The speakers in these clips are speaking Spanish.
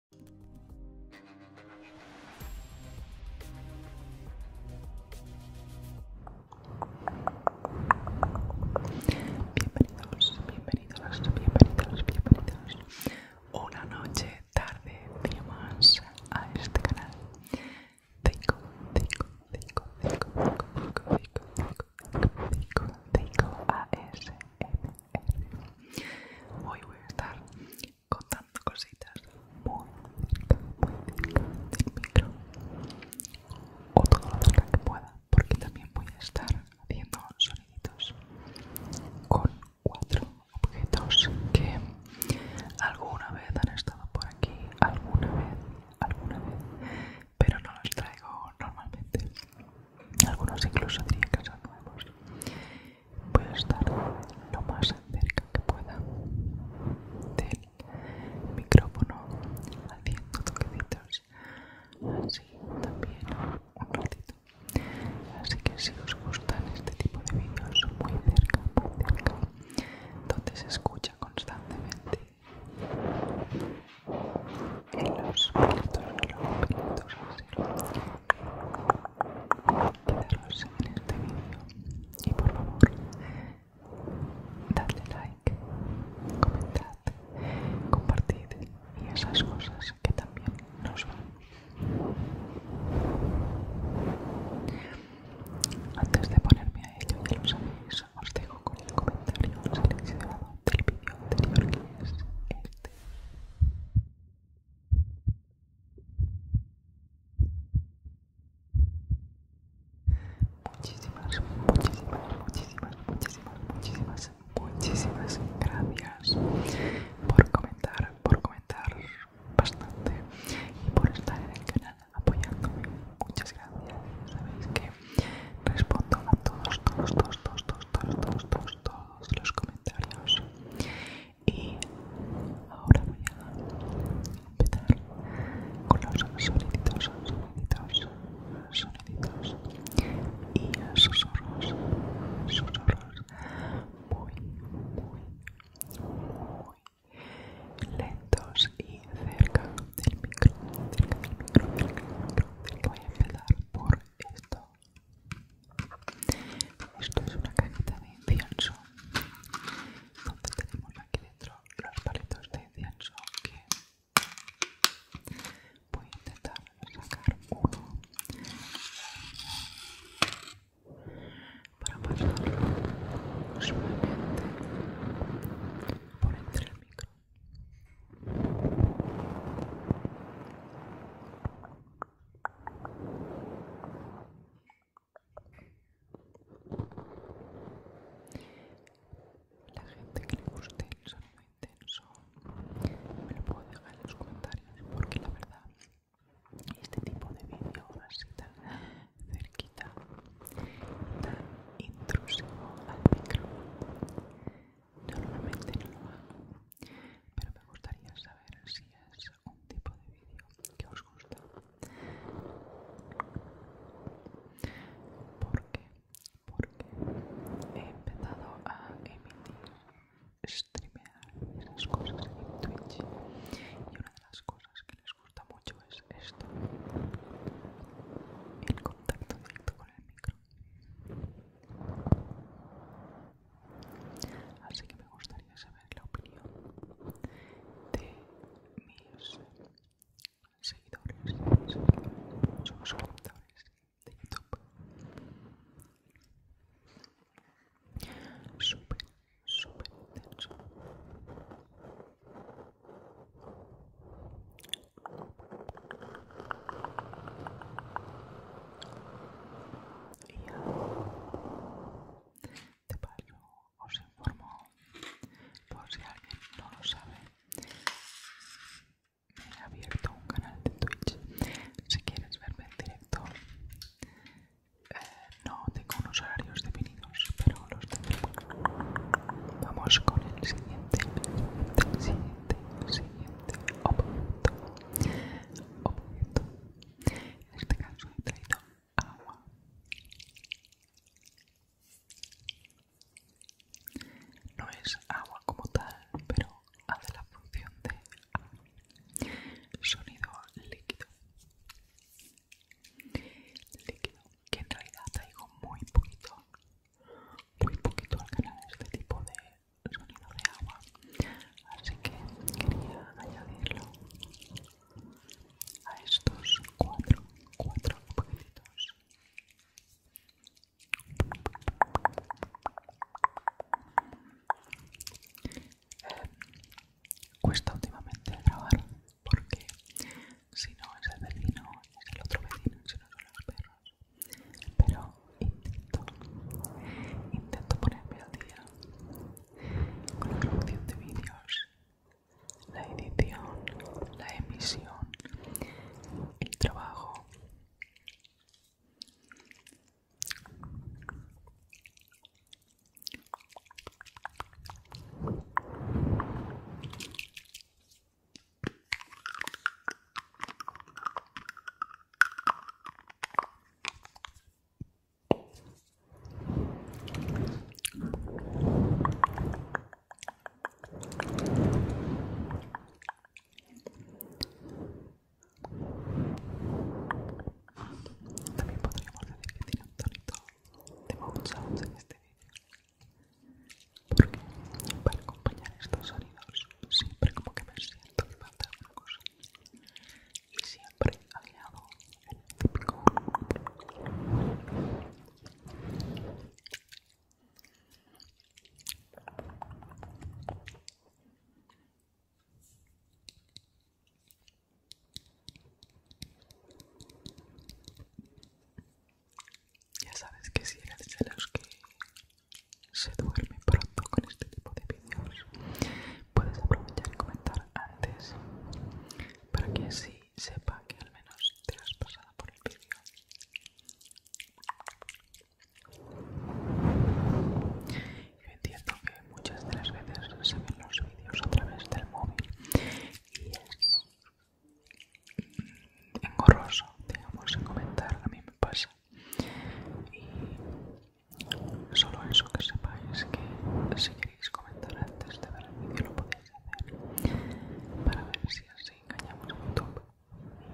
Bienvenidos, bienvenidos, bienvenidos, bienvenidos. Una noche, tarde, día más a este canal. Cinco, cinco, cinco, cinco, cinco, cinco, cinco, cinco, cinco, cinco, cinco, Hoy voy a estar contando cositas muy cerca, muy del micro o todo lo cerca que pueda, porque también voy a estar haciendo soniditos con cuatro objetos que alguna vez han estado por aquí, alguna vez, alguna vez, pero no los traigo normalmente. Algunos incluso diría que son nuevos voy a estar lo más cerca que pueda del micrófono haciendo toquecitos así también un ratito así que si os gustan este tipo de vídeos muy cerca muy cerca donde se escucha constantemente en los los quedaros en este vídeo y por favor dadle like, comentad, compartid y esas cosas que también nos van. Antes de ponerme a ello, ya lo sabéis, os dejo con el comentario seleccionado del vídeo anterior que es este. Muchísimas, muchísimas, muchísimas, muchísimas, muchísimas gracias por comentar, por comentar bastante y por estar en el canal apoyándome. Muchas gracias. Sabéis que respondo a todos, todos, todos, todos, todos, todos, todos, todos, todos los comentarios y ahora voy a empezar con los soniditos, soniditos, soniditos y susurros, susurros muy, muy, muy lentos y cerca del micro, del micro, cerca del micro, del micro. Voy a empezar por esto. Esto es una cajita de incienso, donde tenemos aquí dentro los palitos de incienso que voy a intentar sacar uno para pasarlo suavemente por entre el micro. La gente que le guste el sonido intenso me lo puedo dejar en los comentarios porque la verdad este tipo de vídeo así tan cerquita tan intrusivo al micro normalmente no lo pero me gustaría saber si es un tipo de vídeo que os gusta porque porque he empezado a emitir streamear esas cosas en Twitch y una de las cosas que les gusta mucho es esto el contacto directo con el micro Así que me gustaría saber la opinión de mis seguidores, seguidores suscriptores de YouTube. Súper, súper intenso y de paso os informo por si alguien no lo sabe me he abierto un canal de Twitch si quieres verme en directo eh, no tengo unos horarios definidos pero los tendré vamos con el siguiente siguiente siguiente objeto objeto en este caso he traído agua. No es agua como tal, pero hace la función de Sonido líquido. Líquido, que en realidad traigo muy poquito, muy poquito al canal este tipo de sonido de agua así que quería añadirlo a estos cuatro cuatro poquitos eh, cuesta últimamente grabar porque si no es el vecino es el otro vecino si no son los perros pero intento intento ponerme al día con la producción de vídeos la edición la emisión el trabajo también podríamos decir que tiene un tonito de Mount Sounds en este vídeo, porque para acompañar estos sonidos siempre como que me siento que falta cosa y siempre aliado el típico ya sabes que si eres de los que se duerme pronto con este tipo de vídeos puedes aprovechar y comentar antes para que así sepa que al menos te has pasado por el vídeo yo entiendo que muchas de las veces se ven los vídeos a través del móvil y es mm, engorroso digamos en comentar a mí me pasa y solo eso que sepáis que si queréis comentar antes de ver el vídeo lo podéis hacer para ver si así engañamos un poco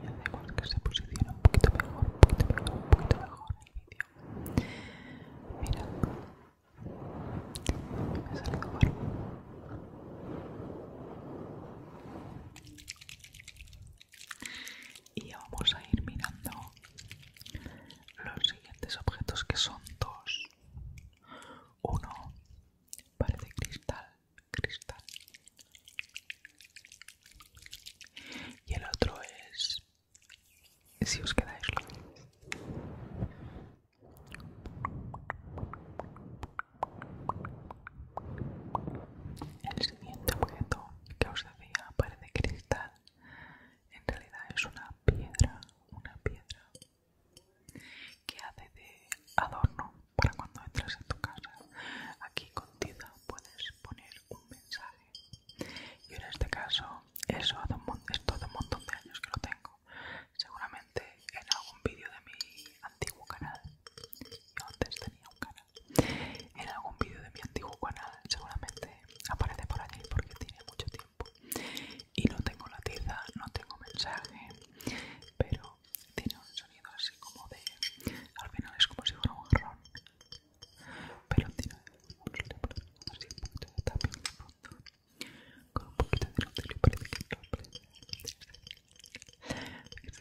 y hacemos que se posicione un poquito mejor, un poquito mejor, un poquito mejor el vídeo. Mirad, me y vamos a ir mirando los siguientes objetos que son dos uno parece cristal cristal y el otro es si os quedáis el siguiente objeto que os decía parece cristal en realidad es una piedra, una piedra que hace de adorno para cuando entras a tu casa. Aquí contigo puedes poner un mensaje. Y en este caso, eso hace un, un montón de años que lo tengo. Seguramente en algún vídeo de mi antiguo canal. Yo antes tenía un canal en algún vídeo de mi antiguo canal seguramente aparece por allí porque tiene mucho tiempo. Y no tengo la no tengo mensaje, pero tiene un sonido así como de... Al final es como si fuera un garrón Pero tiene un sonido así de de fondo. Con un poquito de y parece que Es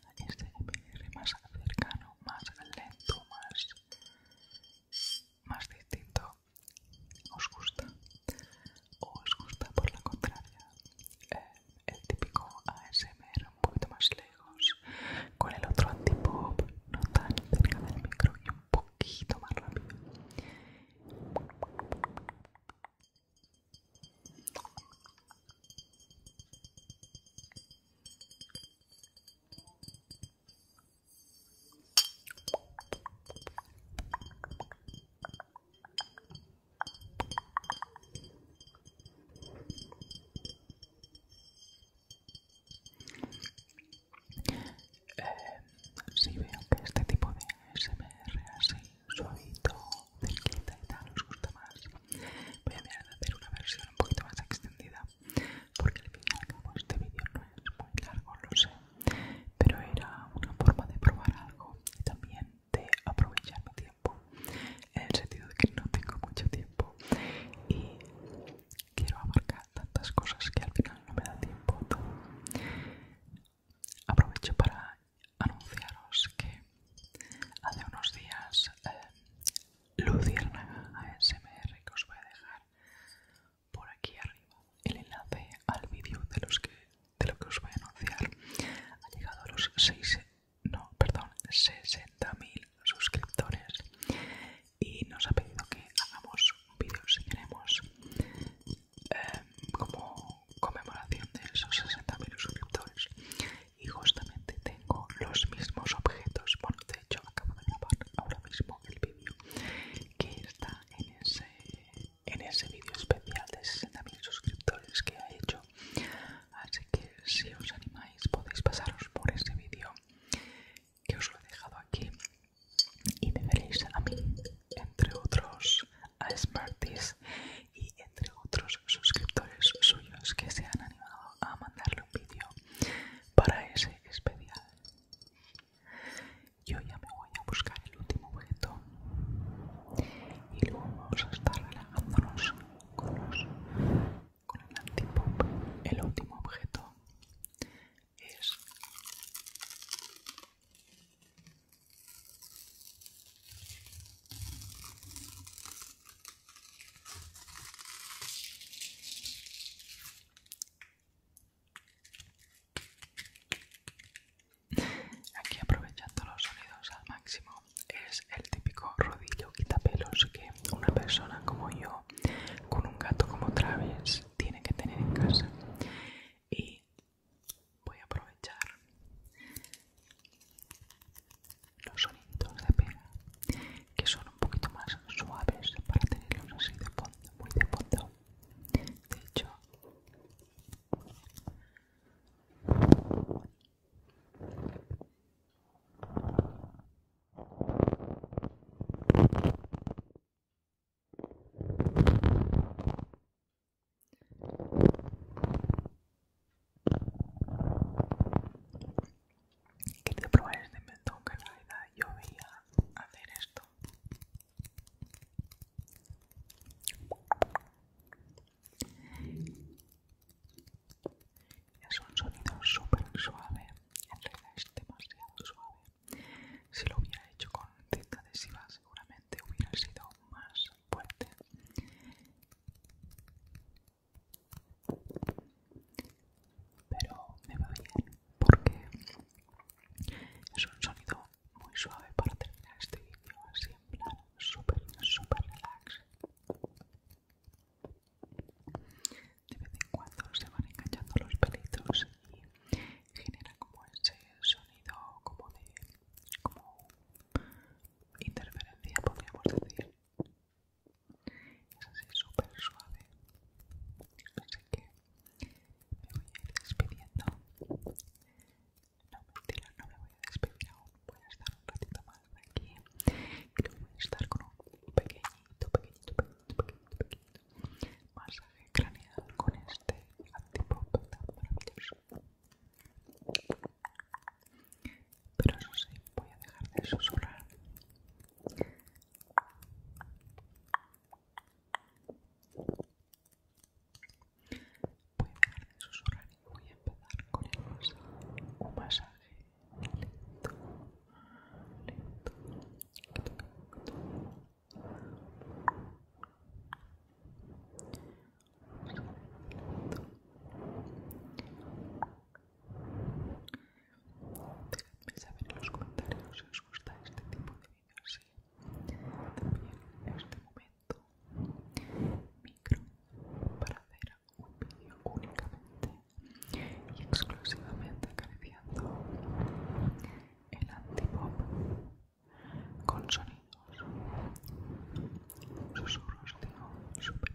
este más cercano, más lento, más, distinto. ¿Os gusta? ¿O os gusta por la contraria? Eh, el típico ASMR un poquito más lejos, con el otro antipop, no tan cerca del micro y un poquito más rápido. Eh, si veo que este tipo de ASMR así suavito, cerquita y tal, os gusta más. Voy a mirar de hacer una versión un poquito más extendida, porque al final como este vídeo no es muy largo, lo sé, pero era una forma de probar algo y también de aprovechar el tiempo, en el sentido de que no tengo mucho tiempo y quiero abarcar tantas cosas que al final no me da tiempo todo. Aprovecho para anunciaros que hace unos días eh, Luciérnaga ASMR, que os voy a dejar por aquí arriba el enlace al vídeo de, los que, de lo que os voy a anunciar, ha llegado a los 6, no, perdón, 60.000 suscriptores y nos ha pedido que hagamos un vídeo si queremos eh, como conmemoración de esos 60.000 suscriptores y justamente tengo los mismos objetos. Bueno, de hecho, acabo de grabar ahora mismo el vídeo que está en ese, en ese vídeo especial de 60.000 suscriptores que ha hecho. Así que si os animáis, podéis pasaros por ese vídeo que os lo he dejado aquí y me veréis a mí, entre otros, a Smarties y entre otros suscriptores suyos que se han animado a mandarle un vídeo para ese especial. Yo ya me voy a buscar el último objeto y luego vamos a estar relajándonos con, el antipop. El último objeto es Aquí aprovechando los sonidos al máximo es el típico rodillo quitapelos que una persona como yo con un gato como Travis tiene que tener en casa y voy a aprovechar los sonidos de pega que son un poquito más suaves para tenerlos así de fondo, muy de fondo. De hecho, que querido probar este mentón que en realidad yo veía hacer esto. Es un sonido súper suave, en realidad es demasiado suave. Si lo hubiera hecho con cinta adhesiva seguramente hubiera sido más fuerte pero me va bien porque es un sonido muy suave para terminar este vídeo así en plan súper súper relax de vez en cuando se van enganchando los pelitos y genera como ese sonido como de como interferencia, podríamos decir. Es así súper suave. Así que me voy a ir despidiendo. No, mentira, no me voy a despedir aún. Voy a estar un ratito más aquí. Y luego voy a estar con un pequeñito, pequeñito, pequeñito, pequeñito, pequeñito masaje craneal con este antipop pero eso sí, voy a dejar de susurrar. Voy a dejar de susurrar y voy a empezar con el masaje. Un Lento, lento. Déjenme saber en los comentarios si os gusta este tipo de vídeos. y También en este momento micro para hacer un vídeo únicamente y exclusivamente acariciando el antipop con sonidos susurros de super